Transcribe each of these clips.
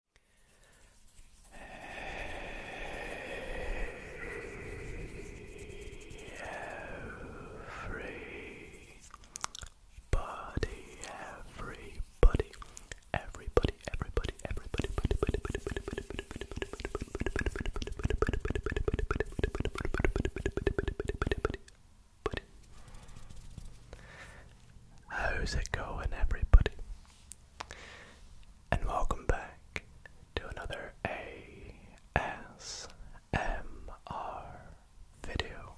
everybody, everybody, everybody, everybody, How's it going, everybody? and welcome back to another ASMR video.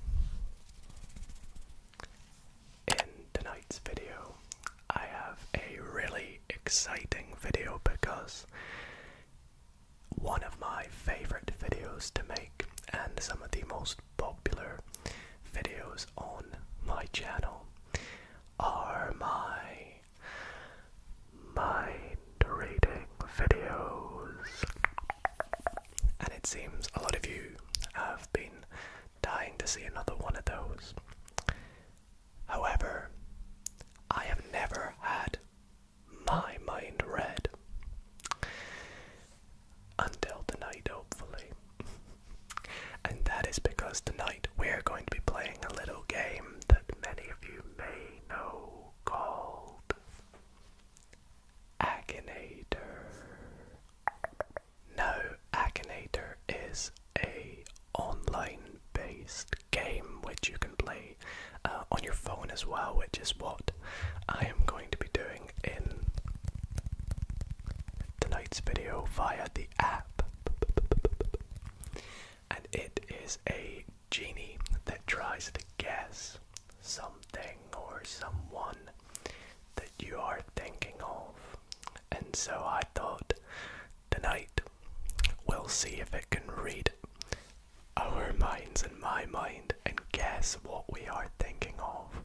In tonight's video, I have a really exciting video because one of my favorite videos to make and some of the most popular videos on my channel are my mind reading videos. And it seems a lot of you have been dying to see another one of those. However, I have never had my mind read until tonight, hopefully and that is because tonight we are going to be playing a little game that many of you may know called Akinator. Now, Akinator is a online based game which you can play uh, on your phone as well, which is what I am going to be doing in tonight's video via the app. And it is a genie that tries to guess something or someone that you are thinking of. And so I thought tonight we'll see if it can read our minds and my mind and guess what we are thinking of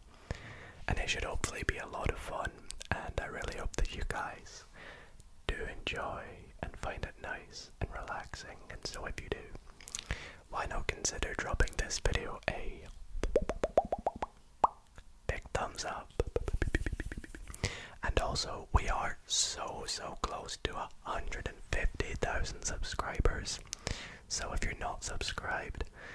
and it should hopefully be a lot of fun. And I really hope that you guys do enjoy and find it nice and relaxing. And so, if you do, why not consider dropping this video a big thumbs up? And also, we are so so close to 150,000 subscribers. So, if you're not subscribed,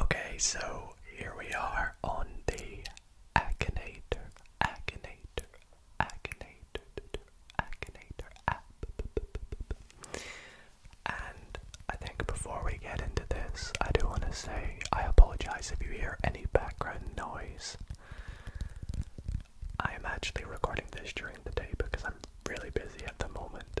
Okay, so here we are on the Akinator, Akinator, Akinator, Akinator app. And I think before we get into this, I do want to say I apologize if you hear any background noise. I am actually recording this during the day because I'm really busy at the moment.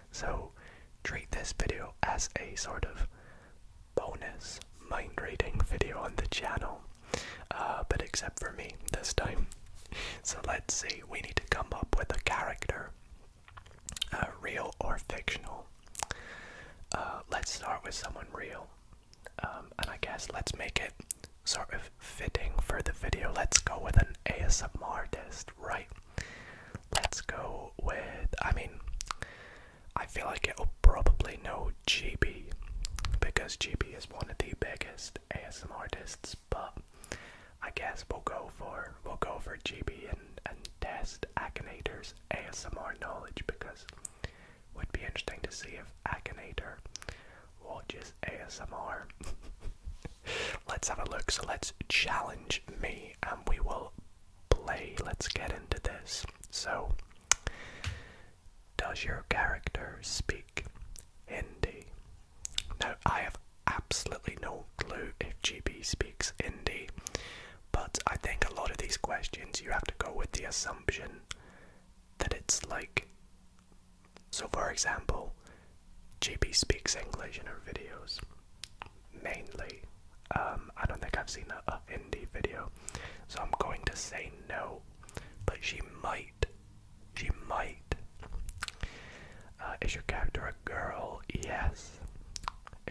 So treat this video as a sort of bonus mind reading video on the channel, uh, but except for me this time. So let's see, we need to come up with a character, uh, real or fictional. Uh, let's start with someone real, um, and I guess let's make it sort of fitting for the video. Let's go with an ASMR artist, right? Let's go with. I mean, I feel like it'll probably no GB because GB is one of the biggest ASMR artists, but I guess we'll go for we'll go for GB and and test Akinator's ASMR knowledge because it would be interesting to see if Akinator watches ASMR. let's have a look. So let's challenge me and we will play. Let's get into this. So, does your character speak Hindi? No, I have absolutely no clue if GB speaks Hindi, but I think a lot of these questions you have to go with the assumption that it's like. So, for example, JP speaks English in her videos mainly. Um, I don't think I've seen an indie video, so I'm going to say no. But she might, she might. Uh, is your character a girl? Yes.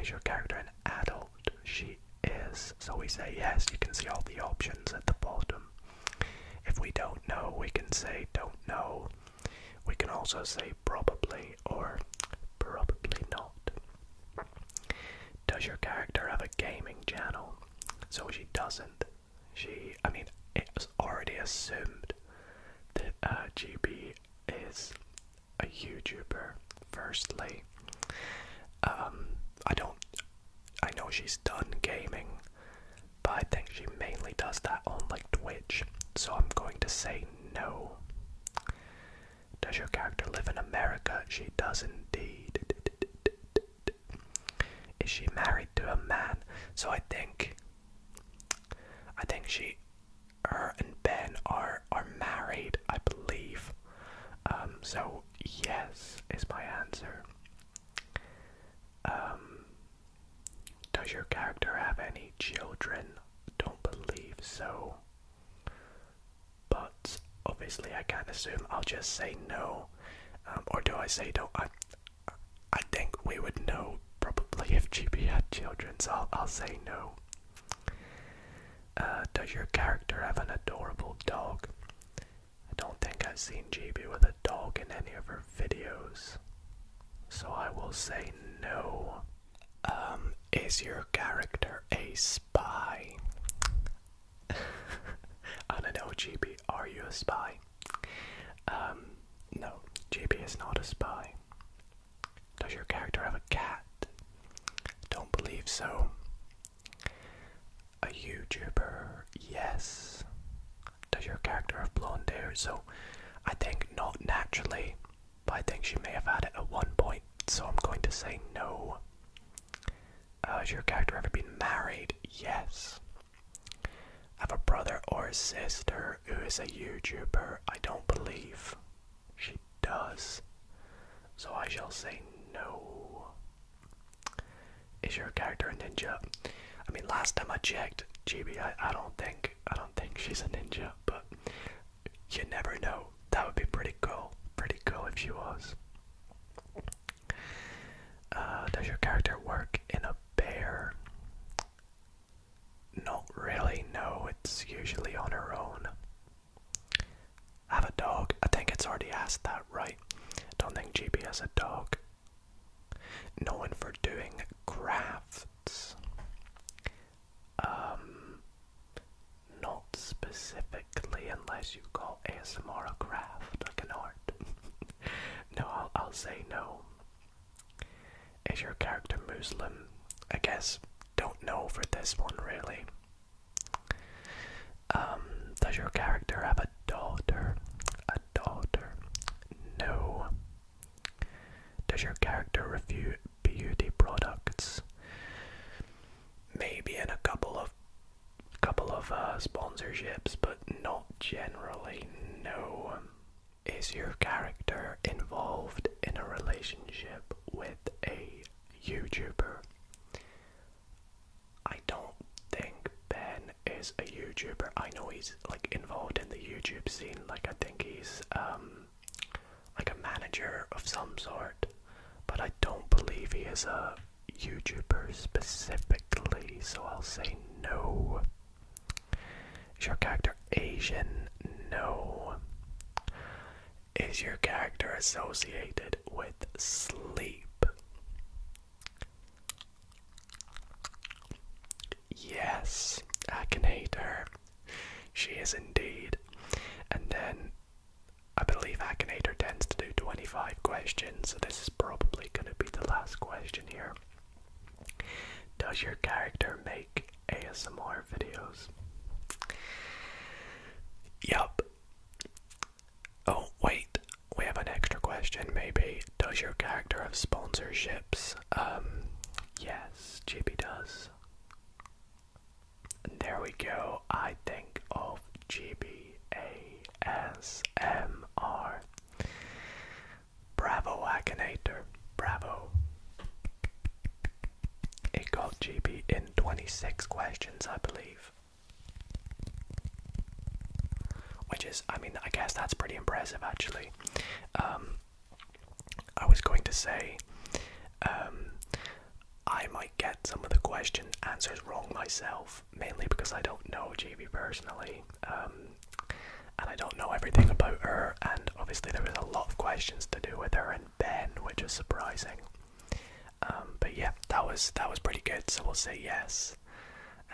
Is your character an adult? She is. So we say yes. You can see all the options at the bottom. If we don't know, we can say don't know. We can also say probably, or probably not. Does your character have a gaming channel? So she doesn't. She, I mean, it's already assumed that uh, GB is a YouTuber, firstly. Um, I don't, I know she's done gaming, but I think she mainly does that on like Twitch. So I'm going to say no. Does your character live in America? She does indeed. Is she married to a man? So I think I think she her and Ben are are married, I believe. Um so yes is my answer. Um does your character have any children? Don't believe so. But obviously, I can't assume. I'll just say no, um, or do I say no? I, I think we would know probably if GB had children, so I'll, say no. Uh, does your character have an adorable dog? I don't think I've seen GB with a dog in any of her videos so I will say no. Um, is your character a spy? On an OGB, are you a spy? Um, no, GB is not a spy. Does your character have a cat? Don't believe so. A YouTuber, yes. Does your character have blonde hair? So I think not naturally, but I think she may have had it at one point, so I'm going to say no. Uh, has your character ever been married? Yes. Have a brother or sister who is a YouTuber? I don't believe she does. So I shall say no. Is your character a ninja? I mean, last time I checked, GB, I don't think I don't think she's a ninja, but you never know. That would be pretty cool. Pretty cool if she was. Uh, does your character work in a bear? Not really, no, it's usually on her own. Have a dog? I think it's already asked that, right? Don't think GB has a dog. Known for doing crafts. Um, not specifically unless you call ASMR a craft, like an art. no, I'll, I'll say no. Is your character Muslim? I guess don't know for this one really. Um, does your character have a daughter? A daughter? No. Does your character review beauty products? Maybe in a couple of couple of uh, sponsorships, but not generally. No. Is your character involved in a relationship with a YouTuber? I don't think Ben is a YouTuber. I know he's like involved in the YouTube scene. Like I think he's um like a manager of some sort, but I don't believe he is a YouTuber specifically, so I'll say no. Is your character Asian? No. Is your character associated with sleep? Yes, I can hate her. She is indeed. And then I believe I can hate her tends to do 25 questions, so this is probably going to be the last question here. Does your character make ASMR videos? Yup. Oh, wait, we have an extra question maybe. Does your character have sponsorships? Um, Yes, JP does. there we go. I think of GBASMR. Bravo, Akinator. Bravo. It got GB in 26 questions, I believe. Which is, I mean, I guess that's pretty impressive actually. Um, I was going to say, um, I might get some of the question answers wrong myself, mainly because I don't know GB personally, um, and I don't know everything about her. And obviously, there was a lot of questions to do with her and Ben, which is surprising. Um, but yeah, that was that was pretty good. So we'll say yes,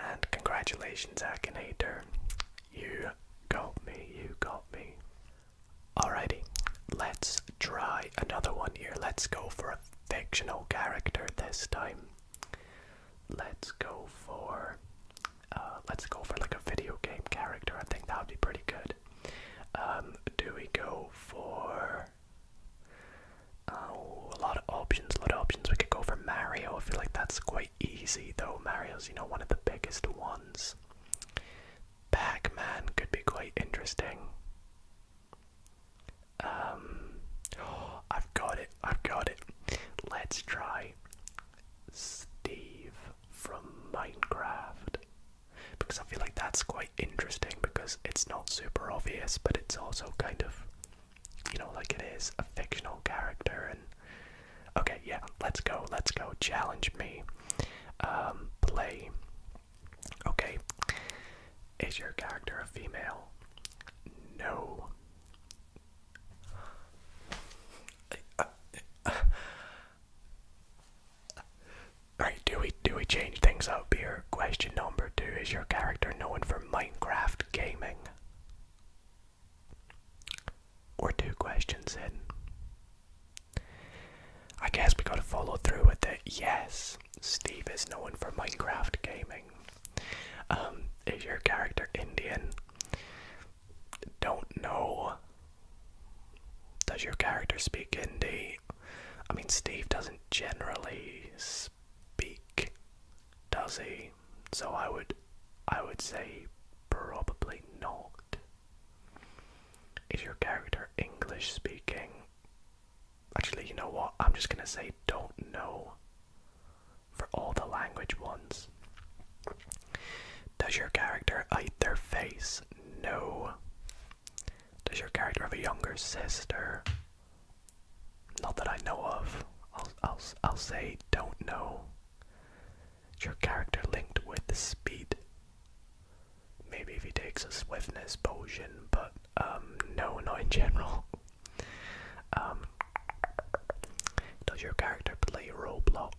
and congratulations, Akinator. You got me, you got me. Alrighty, let's try another one here. Let's go for a fictional character this time. Let's go for uh, let's go for like a video game character. I think that would be pretty good. Um, do we go for oh, a lot of options? A lot of options. We could go for Mario. I feel like that's quite easy though. Mario's, you know, one of the biggest ones. Pac-Man could be quite interesting. Um, I've got it. I've got it. Let's try Steve from Minecraft because I feel like that's quite interesting because it's not super obvious, but it's also kind of, you know, like it is a fictional character and Okay, yeah, let's go, let's go. Challenge me. Um, play. Okay. Is your character a female? No. Alright, do we do we change things up here? Question number two, is your character known for Minecraft gaming? Or two questions in. I guess we gotta follow through with it. Yes, Steve is known for Minecraft gaming. Um, is your character Indian? Don't know. Does your character speak Hindi? I mean, Steve doesn't generally speak, does he? So I would I would say probably not. Is your character English speaking? Actually, you know what? I'm just gonna say don't know for all the language ones. Does your character either face? No. Does your character have a younger sister? Not that I know of. I'll I'll I'll say don't know your character linked with speed. Maybe if he takes a swiftness potion, but um, no, not in general. Um, does your character play Roblox?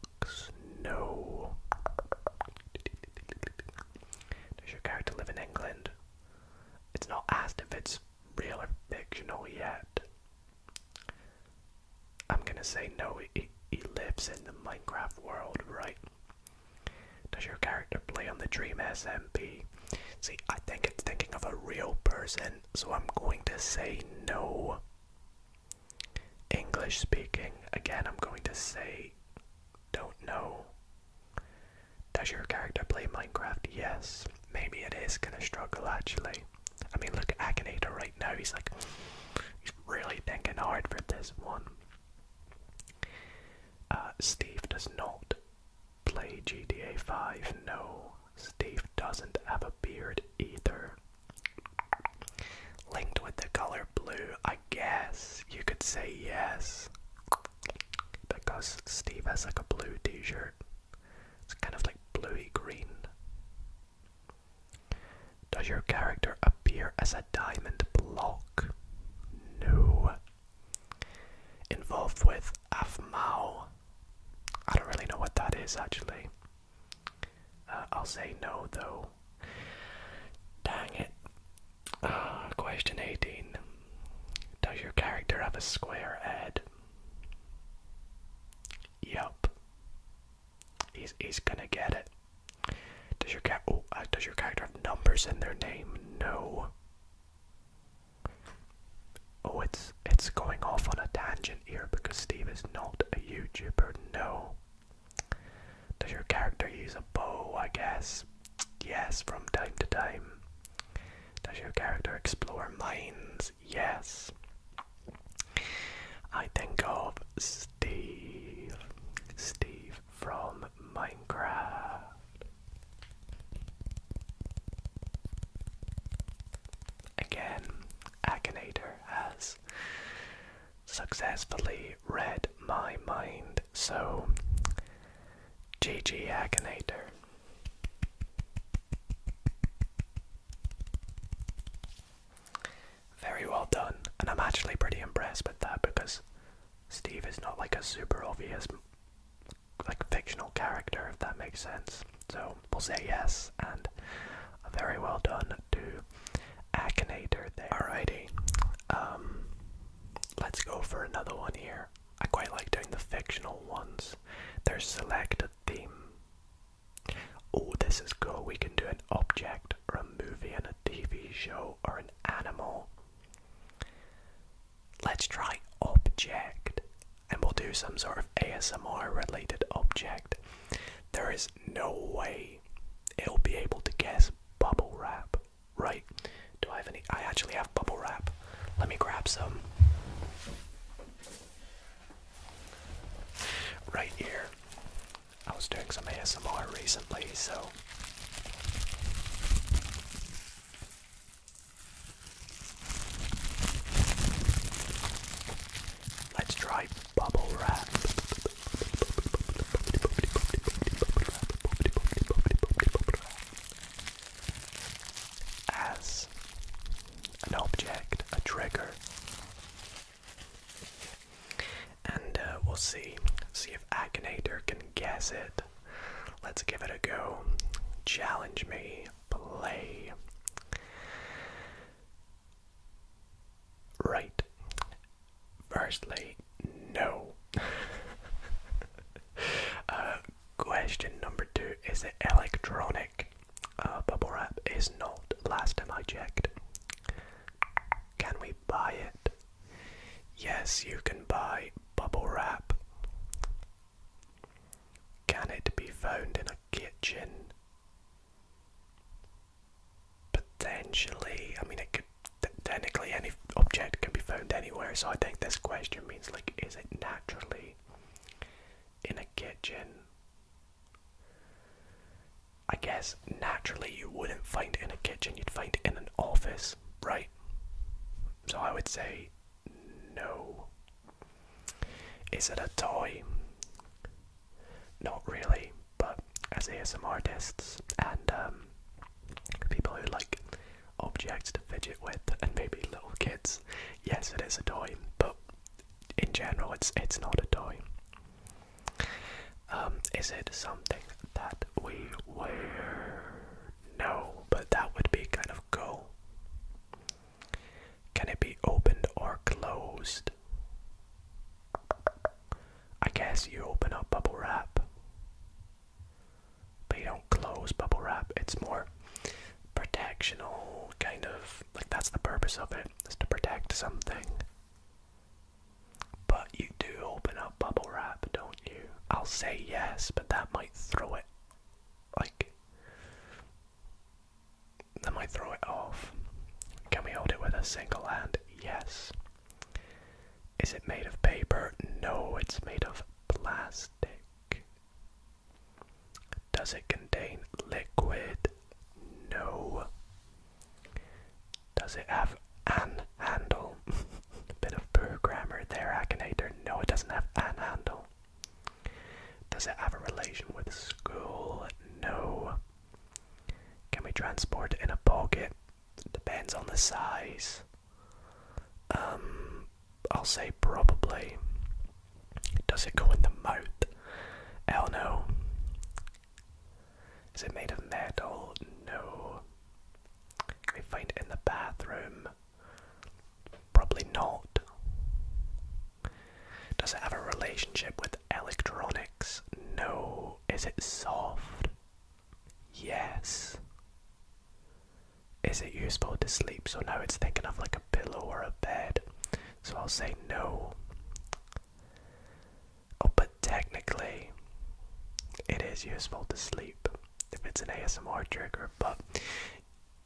No. Does your character live in England? It's not asked if it's real or fictional yet. I'm gonna say no, he, lives in the Minecraft world, right? Does your character play on the Dream SMP? See, I think it's thinking of a real person, so I'm going to say no. English speaking, again, I'm going to say don't know. Does your character play Minecraft? Yes. Maybe it is gonna struggle actually. I mean, look at Akinator right now. He's like, he's really thinking hard for this one. Uh, Steve does not play GTA 5. No, Steve doesn't have a beard either. Linked with the color blue, I guess you could say yes. Because Steve has like a blue t shirt. It's kind of like bluey green. Does your character appear as a diamond block? No. Involved with Afmao? I don't really know what that is actually. Uh, I'll say no though. Dang it. Ah, question 18. Does your character have a square head? Yup. He's he's gonna get it. Does your cat? Oh, uh, does your character have numbers in their name? No. Oh, it's it's going off on a tangent here because Steve is not a YouTuber. No. Does your character use a bow? I guess. Yes, from time to time. Does your character explore mines? yes. I think of Steve. Steve from Minecraft. Again, Akinator has successfully read my mind, so GG Akinator. Very well done, and I'm actually pretty impressed with that because Steve is not like a super obvious, like fictional character, if that makes sense. So we'll say yes, and very well done to Akinator there. Alrighty, um, let's go for another one here. I quite like doing the fictional ones. There's select a theme Oh, this is cool. We can do an object or a movie and a TV show or an animal. Let's try object and we'll do some sort of ASMR related object. There is no way it'll be able to guess bubble wrap, right? Do I have any? I actually have bubble wrap. Let me grab some. Right here. I was doing some ASMR recently, so let's try bubble wrap. As an object, a trigger and uh, we'll see. See if Akinator can guess it. Let's give it a go. Challenge me. Play. Right. Firstly, no. uh, question number two is it electronic? Uh, bubble wrap is not, last time I checked. Can we buy it? Yes, you can buy bubble wrap. Can it be found in a kitchen? Potentially. I mean, it could. Technically, any object can be found anywhere, so I think this question means like, is it naturally in a kitchen? I guess naturally you wouldn't find it in a kitchen, you'd find it in an office, right? So I would say no. Is it a toy? Not really, but as ASM artists and um, people who like objects to fidget with and maybe little kids, yes, it is a toy, but in general, it's it's not a toy. Um, is it something that we wear? No, but that would be kind of cool. Can it be opened or closed? I guess you open up bubble wrap. But you don't close bubble wrap, it's more protectional, kind of like that's the purpose of it, is to protect something. But you do open up bubble wrap, don't you? I'll say yes, but that might throw it like that might throw it off. Can we hold it with a single hand? Yes. Is it made of paper? No, it's made of plastic. Does it contain liquid? No. Does it have an handle? bit of poor grammar there, Akinator. No, it doesn't have an handle. Does it have a relation with school? No. Can we transport it in a pocket? Depends on the size. Um, I'll say probably. Does it go in the mouth? Hell no. Is it made of metal? No. Can we find it in the bathroom? Probably not. Does it have a relationship with electronics? No. Is it soft? Yes. Is it useful to sleep? So now it's thinking of like a pillow or a bed. So I'll say no. Oh, but technically, it is useful to sleep if it's an ASMR trigger, but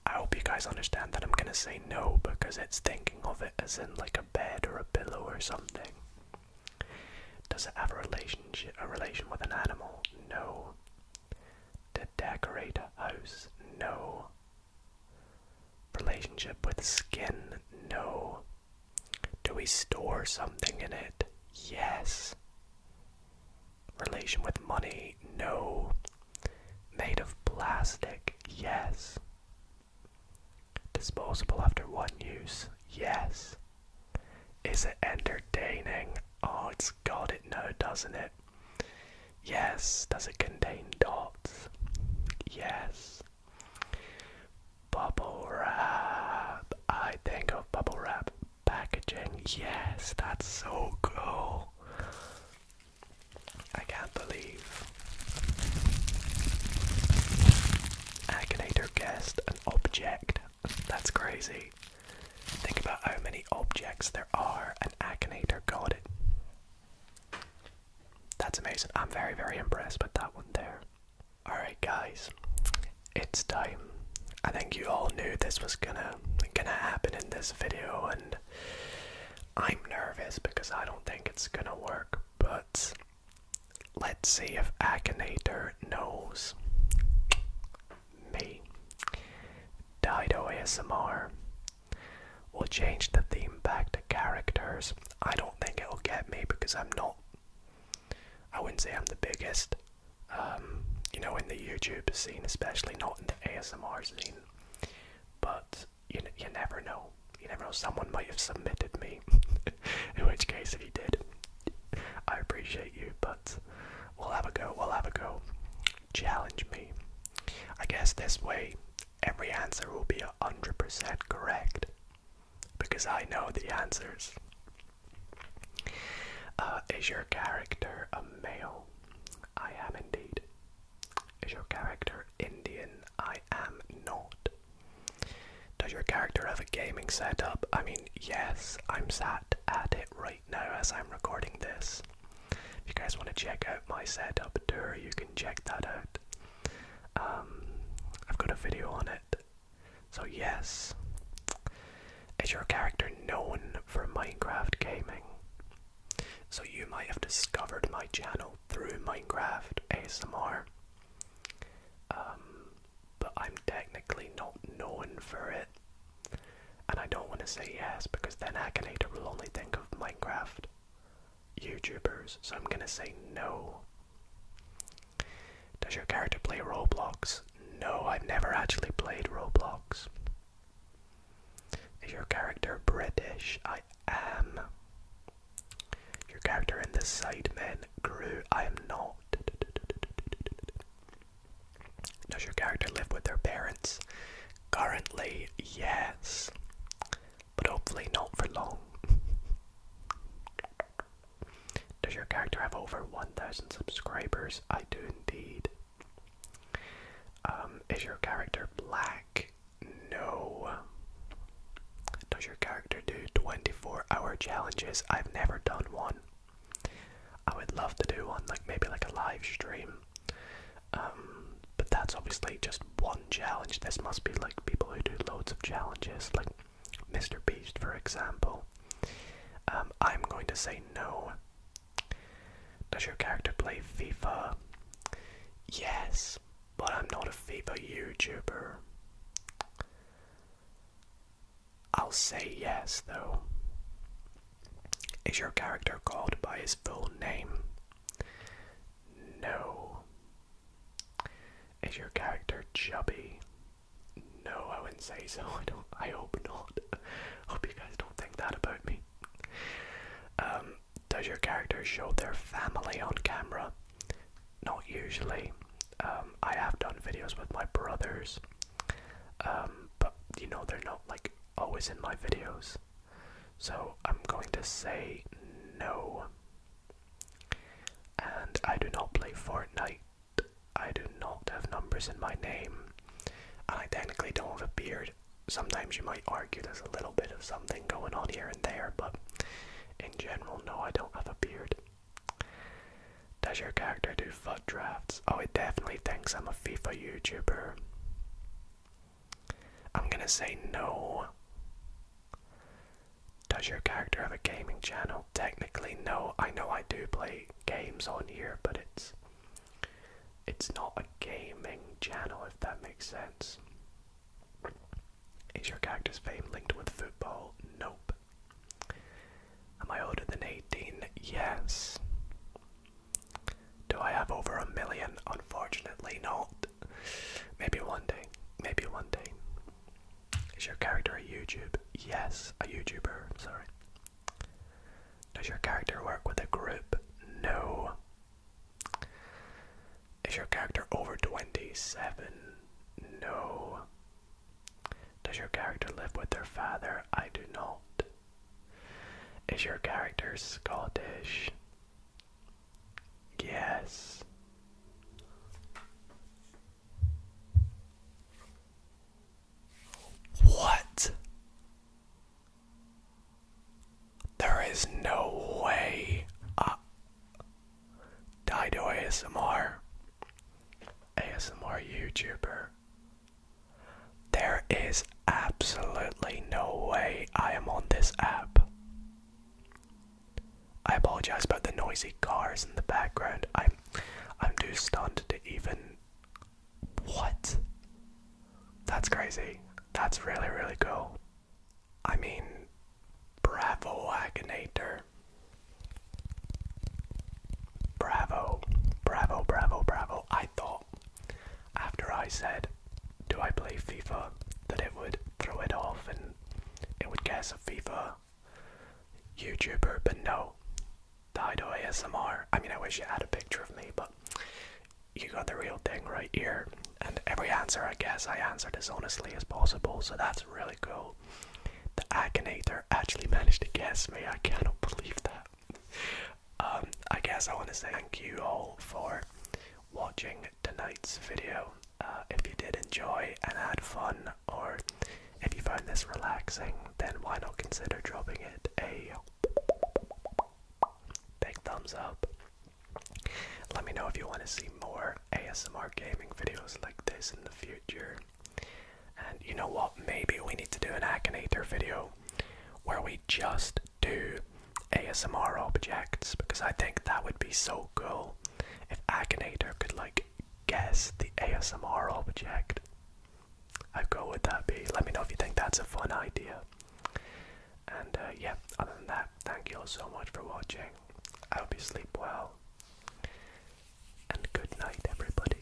I hope you guys understand that I'm gonna say no because it's thinking of it as in like a bed or a pillow or something. Does it have a relationship a relation with an animal? No. To decorate a house? No. Relationship with skin? No. Do we store something in it? Yes. Relation with money? No. Made of plastic? Yes. Disposable after one use? Yes. Is it entertaining? Oh, it's got it No, doesn't it? Yes. Does it contain dots? Yes. Bubble wrap. I think of bubble wrap packaging. Yes, that's so cool. I can't believe. Akinator guessed an object. That's crazy. Think about how many objects there are, and Akinator got it. That's amazing. I'm very, very impressed with that one there. Alright guys, it's time. I think you all knew this was gonna gonna happen in this video and I'm nervous because I don't think it's gonna work, but let's see if Akinator knows me. Dido ASMR We'll change the theme back to characters. I don't think it'll get me because I'm not. I wouldn't say I'm the biggest. Um, you know, in the YouTube scene, especially not in the ASMR scene. But you, you never know. You never know. Someone might have submitted me. in which case, if you did, I appreciate you. But we'll have a go. We'll have a go. Challenge me. I guess this way every answer will be 100% correct because I know the answers. Uh, is your character a male? I am indeed. Is your character Indian? I am not. Does your character have a gaming setup? I mean, yes, I'm sat at it right now as I'm recording this. If you guys want to check out my setup tour, you can check that out. Um, I've got a video on it. So, yes. Is your character known for Minecraft gaming? So, you might have discovered my channel through Minecraft ASMR. Um, but I'm technically not known for it. And I don't want to say yes because then Akinator will only think of Minecraft. YouTubers, so I'm gonna say no. Does your character play Roblox? No, I've never actually played Roblox. Is your character British? I am. Your character in the men grew? I am not. Does your character live with their parents? Currently, yes but hopefully not for long. Does your character have over 1,000 subscribers? I do indeed. Um, is your character black? No. Does your character do 24 hour challenges? I've never done one. I would love to do one, like maybe like a live stream. Um, but that's obviously just one challenge. This must be like people who do loads of challenges, like Mr. Beast, for example. Um, I'm going to say no. Does your character play FIFA? Yes, but I'm not a FIFA YouTuber. I'll say yes, though. Is your character called by his full name? No. Is your character chubby? No, I wouldn't say so. I don't. I hope not. hope you guys don't think that about me. Um, does your character show their family on camera? Not usually. Um, I have done videos with my brothers, um, but you know they're not like always in my videos. So I'm going to say no. And I do not play Fortnite. I do not have numbers in my name. And I technically don't have a beard. Sometimes you might argue there's a little bit of something going on here and there, but in general, no, I don't have a beard. Does your character do FUD drafts? Oh, it definitely thinks I'm a FIFA YouTuber. I'm gonna say no. Does your character have a gaming channel? Technically, no. I know I do play games on here, but it's it's not a gaming channel if that makes sense. Is your character's fame linked with football? Nope. Am I older than 18? Yes. Do I have over a million? Unfortunately not. Maybe one day. Maybe one day. Is your character a YouTube? Yes, a YouTuber, sorry. Does your character work with a group? No. Is your character over 27? No. Does your character live with their father? I do not. Is your character Scottish? Yes. What? There is no way. Uh, Dido ASMR. ASMR YouTuber. There is absolutely no way I am on this app. I apologize about the noisy cars in the background. I'm I'm too stunned to even what? That's crazy. That's really really cool. I mean Bravo Wagonator. Bravo. Bravo, bravo, bravo. I thought after I said do I play FIFA that it would throw it off and it would guess a FIFA YouTuber, but no. Died away ASMR. I mean, I wish you had a picture of me, but you got the real thing right here. And every answer I guess I answered as honestly as possible, so that's really cool. The Akinator actually managed to guess me. I cannot believe that. Um, I guess I want to thank you all for watching tonight's video. Uh, if you did enjoy and had fun, or if you find this relaxing, then why not consider dropping it a big thumbs up? Let me know if you want to see more ASMR gaming videos like this in the future. And you know what? Maybe we need to do an Akinator video where we just do ASMR objects because I think that would be so cool if Agonator could like guess the ASMR object. How cool would that be? Let me know if you think that's a fun idea. And uh, yeah, other than that, thank you all so much for watching. I hope you sleep well. And good night, everybody.